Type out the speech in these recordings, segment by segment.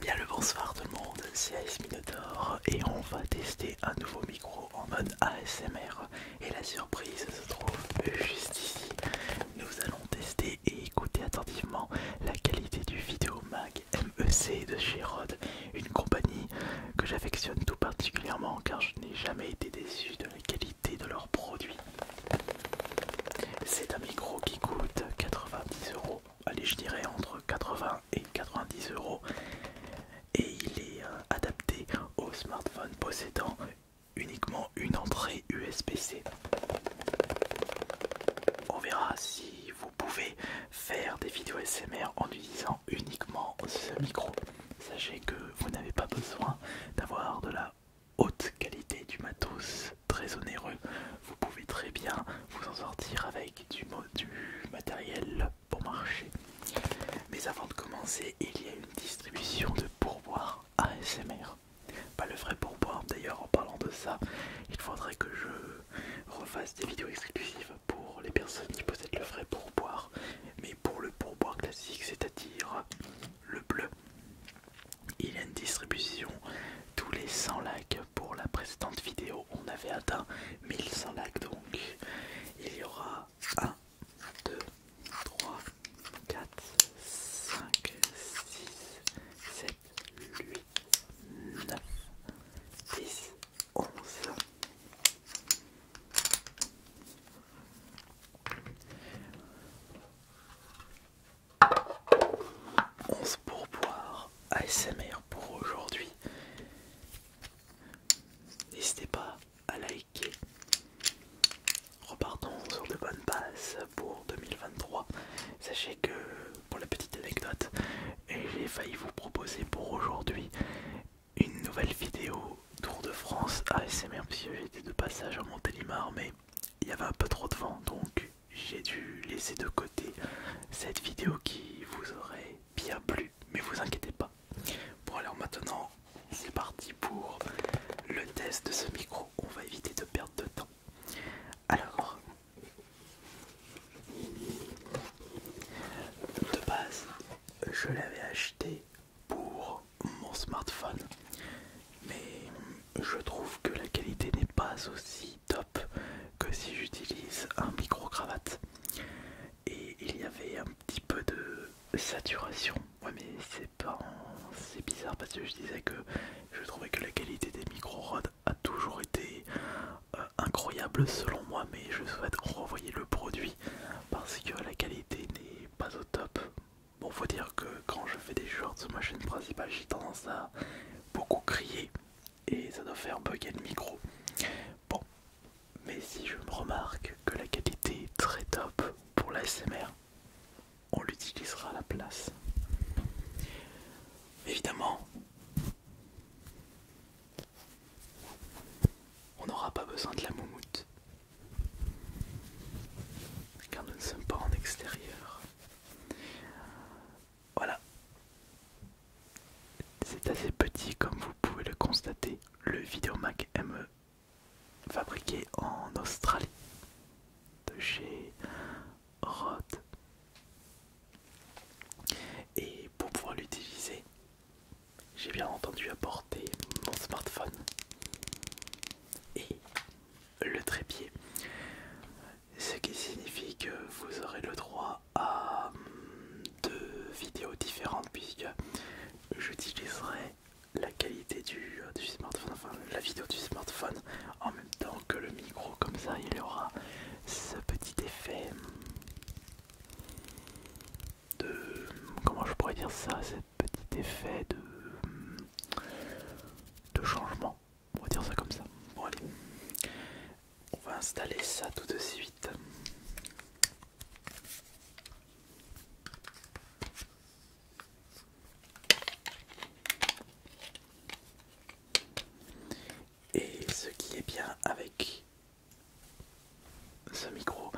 Bien le bonsoir tout le monde, c'est AS et on va tester un nouveau micro en mode ASMR et la surprise se trouve juste ici. Nous allons tester et écouter attentivement la qualité du vidéo MEC de chez une compagnie que j'affectionne tout particulièrement car je n'ai jamais été déçu de la qualité de leurs produits. C'est un micro qui coûte 90 euros allez je dirais entre 80 et 90 euros et il est euh, adapté au smartphone possédant uniquement une entrée USB-C. On verra si vous pouvez faire des vidéos SMR en utilisant uniquement ce micro. Sachez que vous n'avez pas besoin d'avoir de la haute qualité du matos très onéreux. Vous pouvez très bien vous en sortir avec du, du matériel pour marcher. Mais avant de commencer, il y a une distribution de pourboire ASMR. Pas le vrai pourboire d'ailleurs, en parlant de ça, il faudrait que je refasse des vidéos exclusives pour les personnes qui possèdent le vrai pourboire. Mais pour le pourboire classique, c'est-à-dire le bleu, il y a une distribution tous les 100 likes pour la précédente vidéo. On avait atteint 1100 likes donc. Il y aura 1, 2, 3, 4, 5, 6, 7, 8, 9, 10, 11. 11 pour boire ASMR pour aujourd'hui. N'hésitez pas à liker. Repartons sur de bonnes bases pour 2023. Sachez que pour la petite anecdote, j'ai failli vous proposer pour aujourd'hui une nouvelle vidéo Tour de France ASMR puisque j'étais de passage à Montélimar mais il y avait un peu trop de vent donc j'ai dû laisser de côté cette vidéo qui vous aurait bien plu mais vous inquiétez pas bon alors maintenant c'est parti pour le test de ce micro on va éviter de perdre de temps alors de base je l'avais acheté pour mon smartphone mais je trouve que la qualité n'est pas aussi top que si j'utilise un micro-cravate. Et il y avait un petit peu de saturation. Ouais mais c'est pas c'est bizarre parce que je disais que je trouvais que la qualité des micro-rods a toujours été euh, incroyable selon moi mais je souhaite renvoyer le produit parce que la qualité n'est pas au top Bon, faut dire que quand je fais des shorts sur ma chaîne principale, j'ai tendance à beaucoup crier et ça doit faire bugger le micro. Bon, mais si je me remarque que la qualité est très top pour l'ASMR, on l'utilisera à la place. Évidemment, on n'aura pas besoin de la moumoute car nous ne sommes pas en extérieur. Voilà. C'est assez petit comme vous pouvez le constater. Le Videomac ME fabriqué en Australie de chez Rode. Et pour pouvoir l'utiliser, j'ai bien entendu apporter mon smartphone et le trépied. Ce qui signifie que vous aurez le droit à mm, deux vidéos différentes puisque j'utiliserai la qualité du, euh, du smartphone, enfin la vidéo du smartphone en même temps que le micro, comme ça il aura ce petit effet mm, de... Mm, comment je pourrais dire ça, ce petit effet de de changement. On va dire ça comme ça. Bon allez, on va installer ça tout de suite. Et ce qui est bien avec ce micro,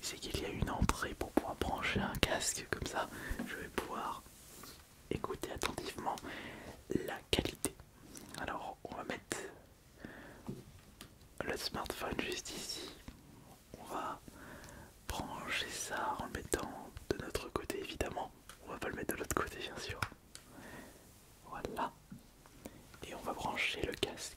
c'est qu'il y a une entrée pour pouvoir brancher un casque comme ça. Je vais pouvoir écoutez attentivement la qualité. Alors, on va mettre le smartphone juste ici. On va brancher ça en le mettant de notre côté, évidemment. On va pas le mettre de l'autre côté, bien sûr. Voilà. Et on va brancher le casque.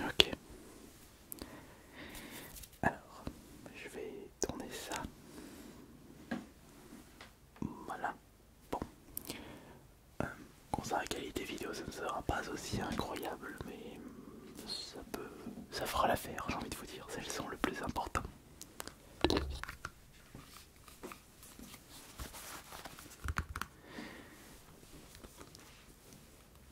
Ok. Alors, je vais tourner ça. Voilà. Bon. Euh, concernant la qualité vidéo, ça ne sera pas aussi incroyable, mais ça peut, ça fera l'affaire. J'ai envie de vous dire, c'est le son le plus important.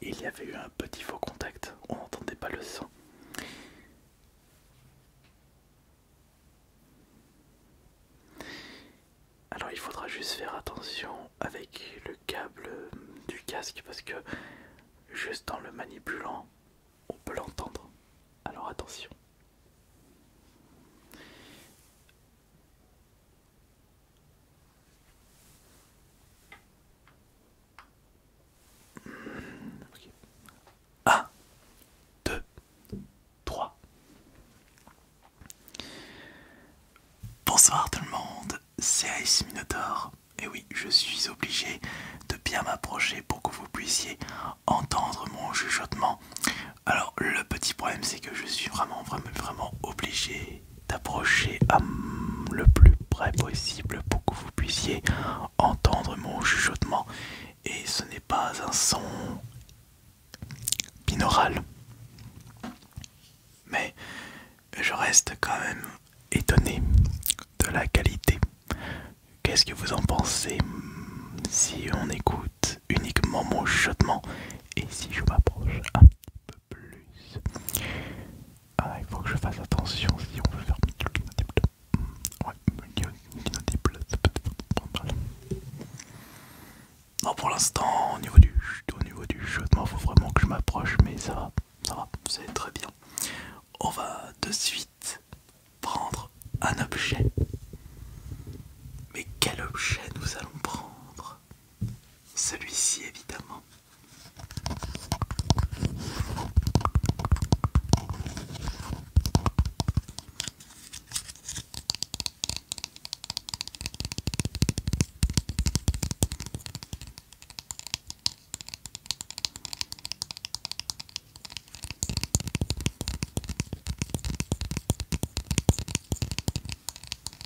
Il y avait eu un petit faux contact, on n'entendait pas le son. Alors il faudra juste faire attention avec le câble du casque parce que juste en le manipulant, on peut l'entendre. Alors attention. 1, 2, 3. Bonsoir tout le monde, c'est Ice Minotaur. Et oui, je suis obligé de bien m'approcher pour que vous puissiez entendre mon chuchotement. Alors le petit problème c'est que je suis vraiment vraiment vraiment obligé d'approcher le plus près possible pour que vous puissiez entendre mon chuchotement. Et ce n'est pas un son binaural. Mais je reste quand même étonné de la qualité. Qu'est-ce que vous en pensez si on écoute uniquement mon chuchotement et si je m'approche un peu plus. Ah, il faut que je fasse attention si on veut faire mm, Ouais, pour l'instant, au niveau du au niveau du moi faut vraiment que je m'approche, mais ça va, ça va, c'est très bien. On va de suite prendre un objet. Mais quel objet nous allons prendre celui-ci évidemment.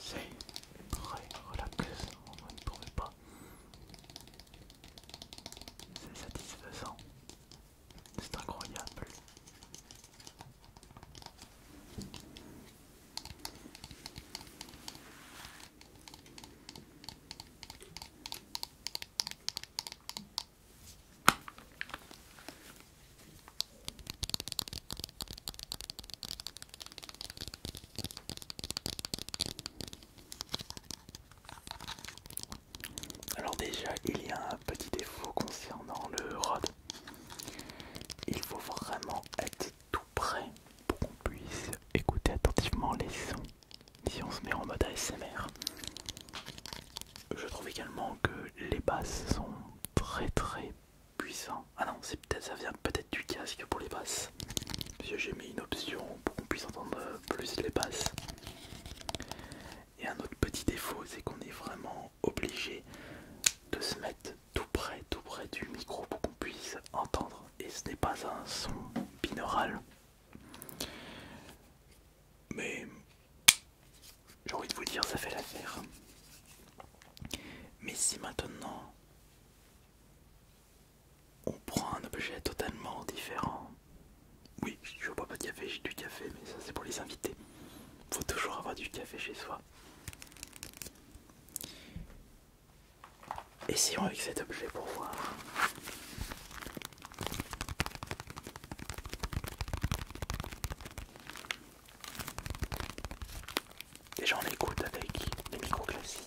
C'est très relaxant, vous ne trouvez pas C'est satisfaisant, c'est incroyable. Alors déjà, il y a un petit défaut concernant le rod. Il faut vraiment être tout prêt pour qu'on puisse écouter attentivement les sons si on se met en mode ASMR. Je trouve également que les basses sont très très puissantes. Ah non, peut-être ça vient peut-être du casque pour les basses. puisque j'ai mis une option pour qu'on puisse entendre plus les basses. Et un autre petit défaut, c'est qu'on est vraiment obligé de se mettre tout près, tout près du micro pour qu'on puisse entendre. Et ce n'est pas un son binaural, mais j'ai envie de vous dire, ça fait l'affaire. Mais si maintenant on prend un objet totalement différent, oui, je bois pas de café, j'ai du café, mais ça c'est pour les invités. Faut toujours avoir du café chez soi. Essayons avec cet objet pour voir. Déjà on écoute avec les micro classiques.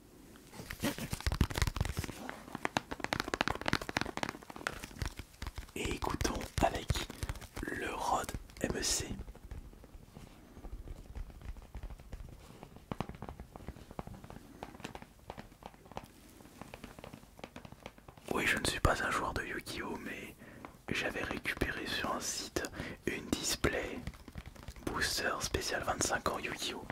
Et écoutons avec le Rode MEC. Oui, je ne suis pas un joueur de Yu-Gi-Oh, mais j'avais récupéré sur un site une display booster spécial 25 ans Yu-Gi-Oh.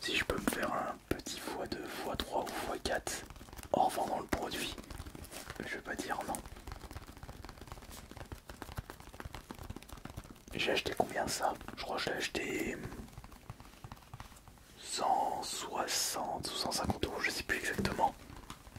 Si je peux me faire un petit x2, x3 ou x4 en revendant le produit, je vais pas dire non. J'ai acheté combien ça Je crois que l'ai acheté 160 ou 150 euros, je sais plus exactement.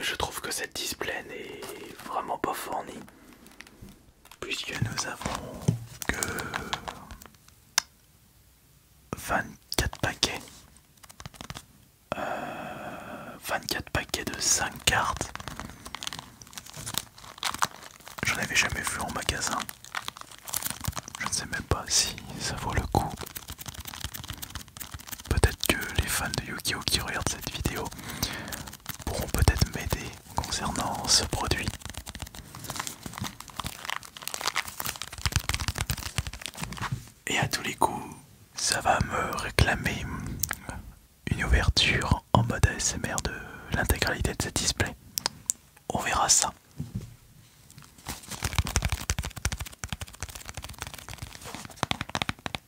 je trouve que cette display n'est vraiment pas fournie puisque nous avons que 24 paquets 24 euh, paquets de 5 cartes j'en avais jamais vu en magasin je ne sais même pas si ça vaut le coup peut-être que les fans de Yu-Gi-Oh qui regardent cette vidéo pourront peut-être m'aider concernant ce produit. Et à tous les coups, ça va me réclamer une ouverture en mode ASMR de l'intégralité de ce display. On verra ça.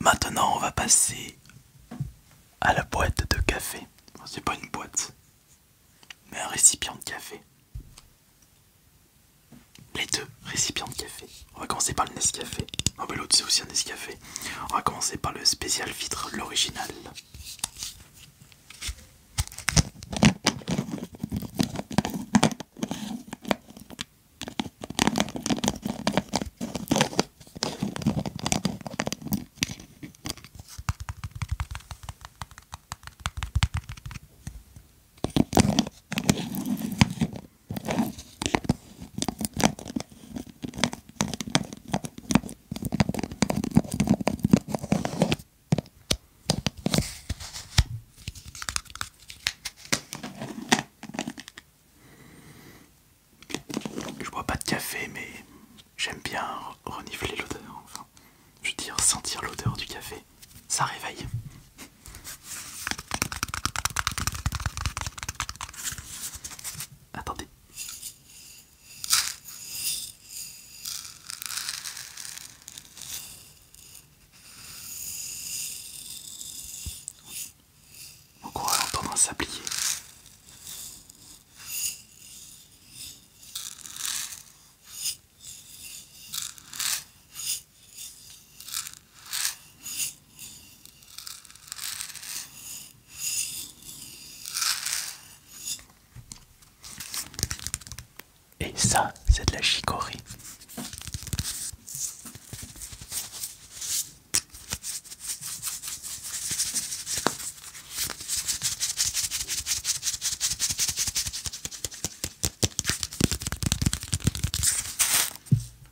Maintenant, on va passer à la boîte de café. C'est pas une boîte, mais un récipient de café. Les deux récipients de café. On va commencer par le Nescafé. Non, mais c'est aussi un Nescafé. On va commencer par le spécial vitre, l'original. Je bois pas de café, mais j'aime bien renifler l'odeur. je veux dire sentir l'odeur du café, ça réveille. Attendez. On croit entendre à sablier. Et ça, c'est de la chicorée.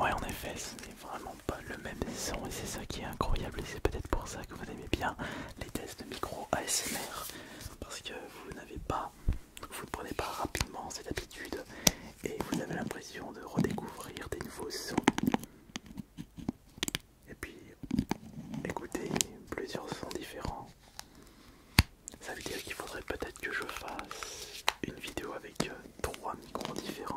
Ouais, en effet, c'est vraiment pas le même son et c'est ça qui est incroyable et c'est peut-être pour ça que vous aimez bien les tests de micro ASMR parce que vous n'avez pas, vous ne prenez pas rapidement cette habitude et vous avez l'impression de redécouvrir des nouveaux sons et puis écoutez plusieurs sons différents. Ça veut dire qu'il faudrait peut-être que je fasse une vidéo avec euh, trois micros différents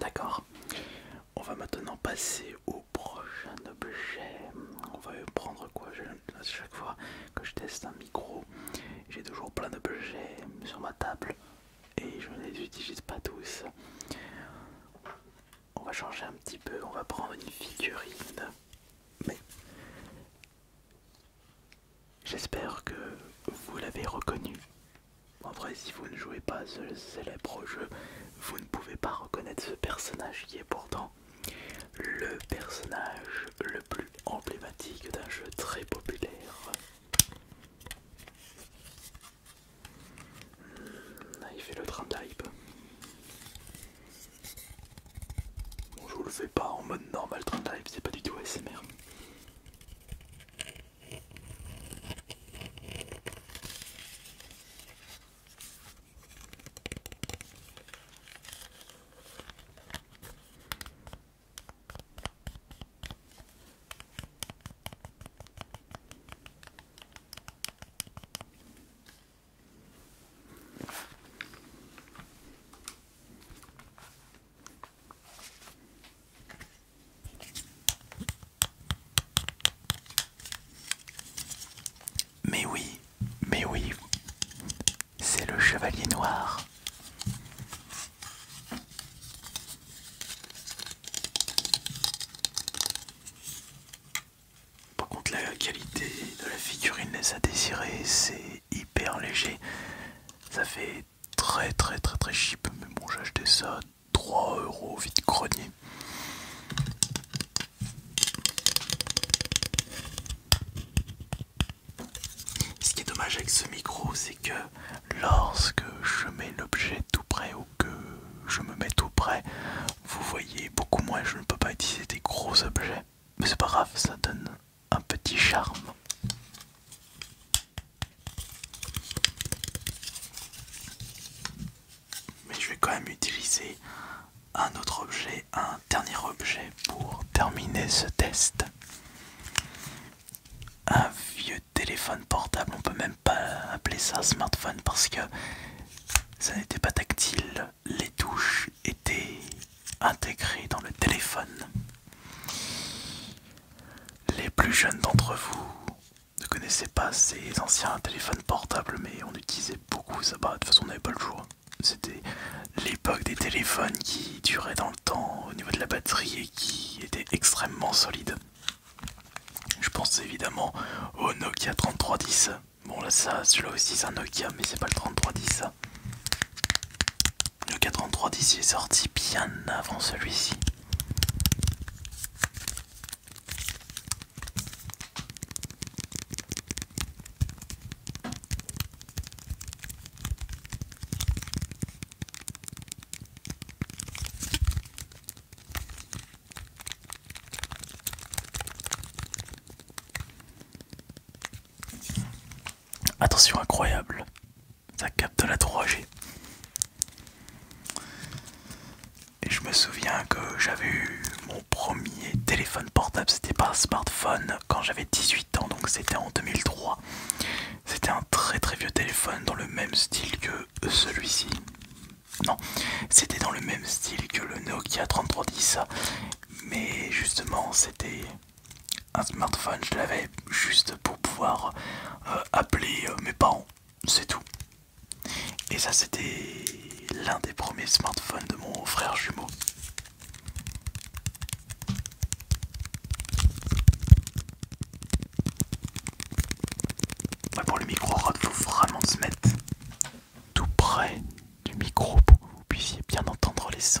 D'accord. On va maintenant passer au prochain objet. On va prendre quoi À chaque fois que je teste un micro, j'ai toujours plein d'objets sur ma table et je ne les utilise pas tous. On va changer un petit peu, on va prendre une figurine. Mais j'espère que vous l'avez reconnu. En vrai, si vous ne jouez pas ce célèbre jeu, vous ne pouvez pas reconnaître ce personnage qui est pourtant le personnage le plus emblématique d'un jeu très populaire. Hmm, il fait le train type. je vous le fais pas en mode normal trend type, c'est pas du tout ASMR. Mais oui, mais oui, c'est le chevalier noir. Par contre la qualité de la figurine laisse à désirer, c'est hyper léger. Ça fait très très très très cheap, mais bon j'ai acheté ça 3 euros vite grenier. Ce qui est dommage avec ce micro, c'est que lorsque je mets l'objet tout près ou que je me mets tout près, vous voyez beaucoup moins. Je ne peux pas utiliser des gros objets, mais c'est pas grave, ça donne un petit charme. Mais je vais quand même utiliser un autre objet, un dernier objet pour terminer ce test un vieux téléphone portable. On peut même pas appeler ça smartphone parce que ça n'était pas tactile. Les touches étaient intégrées dans le téléphone. Les plus jeunes d'entre vous ne connaissaient pas ces anciens téléphones portables, mais on utilisait beaucoup ça. Bah, de toute façon, on n'avait pas le choix. C'était l'époque des téléphones qui duraient dans au niveau de la batterie et qui était extrêmement solide. Je pense évidemment au Nokia 3310. Bon là ça, celui-là aussi c'est un Nokia mais c'est pas le 3310. Le 3310 est sorti bien avant celui-ci. Attention incroyable, ça capte la 3G. Et je me souviens que j'avais eu mon premier téléphone portable, c'était pas un smartphone quand j'avais 18 ans, donc c'était en 2003. C'était un très très vieux téléphone dans le même style que celui-ci. Non, c'était dans le même style que le Nokia 3310, mais justement c'était un smartphone, je l'avais juste pour pouvoir euh, appeler euh, mes parents, c'est tout. Et ça c'était l'un des premiers smartphones de mon frère jumeau pour le micro il faut vraiment se mettre tout près du micro pour que vous puissiez bien entendre les sons.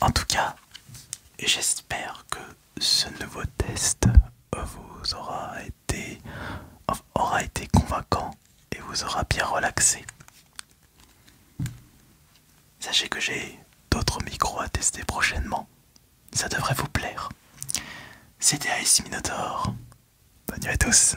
En tout cas, j'espère que ce nouveau test vous aura été, convaincant et vous aura bien relaxé. Sachez que j'ai d'autres micros à tester prochainement. Ça devrait vous plaire. C'était Ice Bonne à tous.